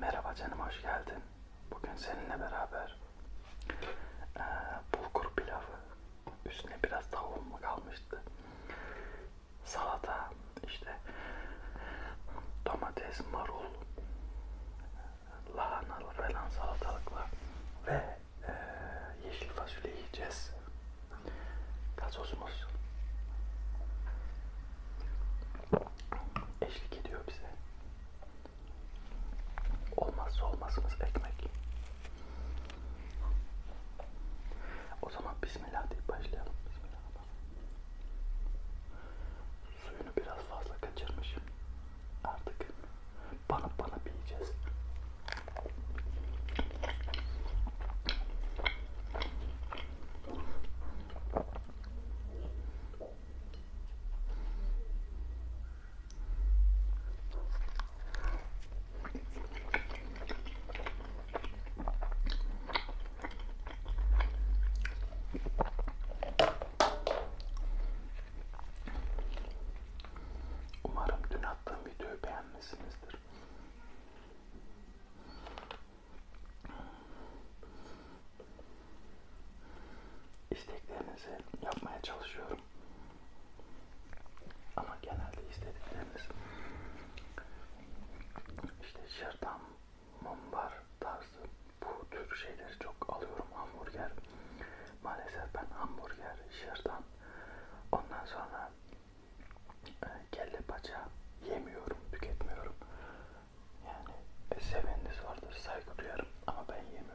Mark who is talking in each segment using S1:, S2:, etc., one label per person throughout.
S1: Merhaba canım hoş geldin. Bugün seninle beraber e, bulgur pilavı, üstüne biraz tavuğum mu kalmıştı, salata, işte domates, marul, lahanalı falan salatalıkla ve e, yeşil fasulye yiyeceğiz. Gazozumuz eşlik ediyor bize. Olmazsa olmazımız ekmek. O zaman bismillah deyip başlayalım. Bismillah. Suyunu biraz fazla kaçırmışım. Artık bana bana yiyeceğiz. Umarım dün attığım videoyu beğenmişsinizdir isteklerinizi yapmaya çalışıyorum. Ama genelde istedikleriniz işte şırdan, mumbar tarzı bu tür şeyleri çok alıyorum hamburger. Maalesef ben hamburger, şırdan ondan sonra ee, kelle paça yemiyorum, tüketmiyorum. Yani e, seveniniz vardır, saygı duyarım ama ben yemiyorum.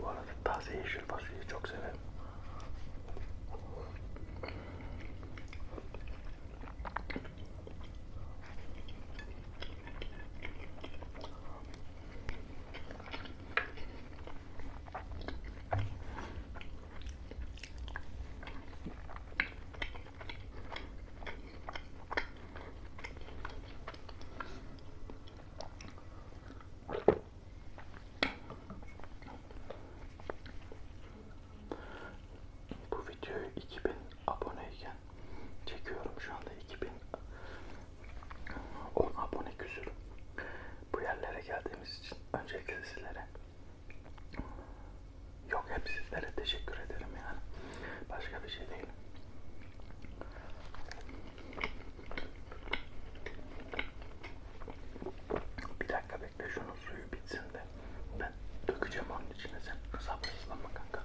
S1: Bu arada taze yeşil fasulyeyi çok severim. Bu videoyu 2000 aboneyken çekiyorum şu anda 2000 10 abone küsür. Bu yerlere geldiğimiz için öncelikle sizlere yok hep sizlere teşekkür ederim yani. Başka bir şey değil. Bir dakika bekle şunun suyu bitsin de ben dökeceğim onun içine sen sabırsızlanma kanka.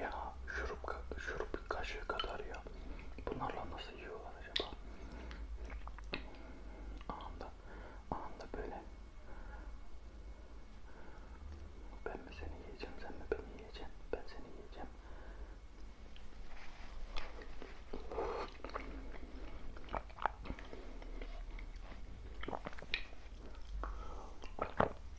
S1: Ya şurup, şurup kaşığı kadar ya. Bunlarla nasıl yiyorlar acaba? Anında, anında böyle. Ben mi seni yiyeceğim, sen mi beni yiyeceksin? Ben seni yiyeceğim.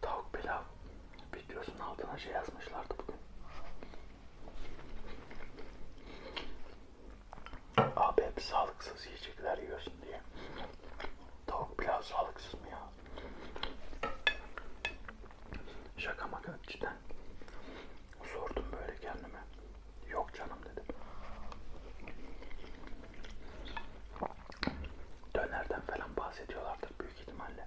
S1: Tavuk pilav videosunun altına şey yazmışlardı bugün. Abi hep sağlıksız yiyecekler yiyorsun diye. Tavuk pilav sağlıksız mı ya? Şaka maka cidden. Sordum böyle kendime. Yok canım dedim dönerden falan bahsediyorlardır büyük ihtimalle.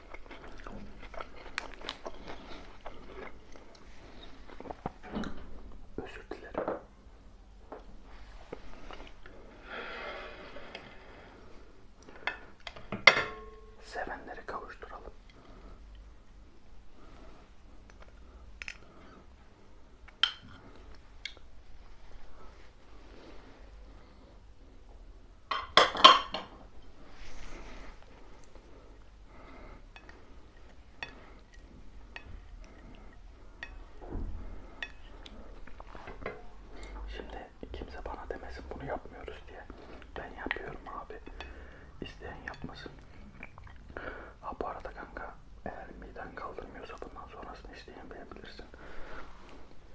S1: Özür dilerim. Sevenleri kavuşturalım. Şimdi kimse bana demesin bunu yapmıyoruz diye. Ben yapıyorum abi. İsteyen yapmasın. Ha bu arada kanka eğer miden kaldırmıyorsa bundan sonrasını isteyen beğenebilirsin.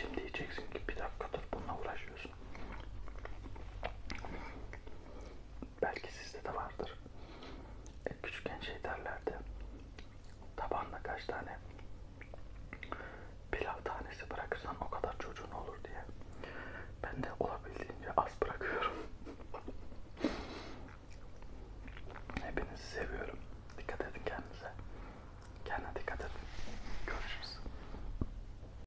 S1: Şimdi diyeceksin ki bir dakikadır bununla uğraşıyorsun belki sizde de vardır. E, küçükken şey derlerdi. Tabanla kaç tane pilav tanesi bırakırsan o kadar çocuğun olur diye. Ben de olabildiğince az bırakıyorum. Hepinizi seviyorum. Dikkat edin kendinize. Kendine dikkat edin. Görüşürüz.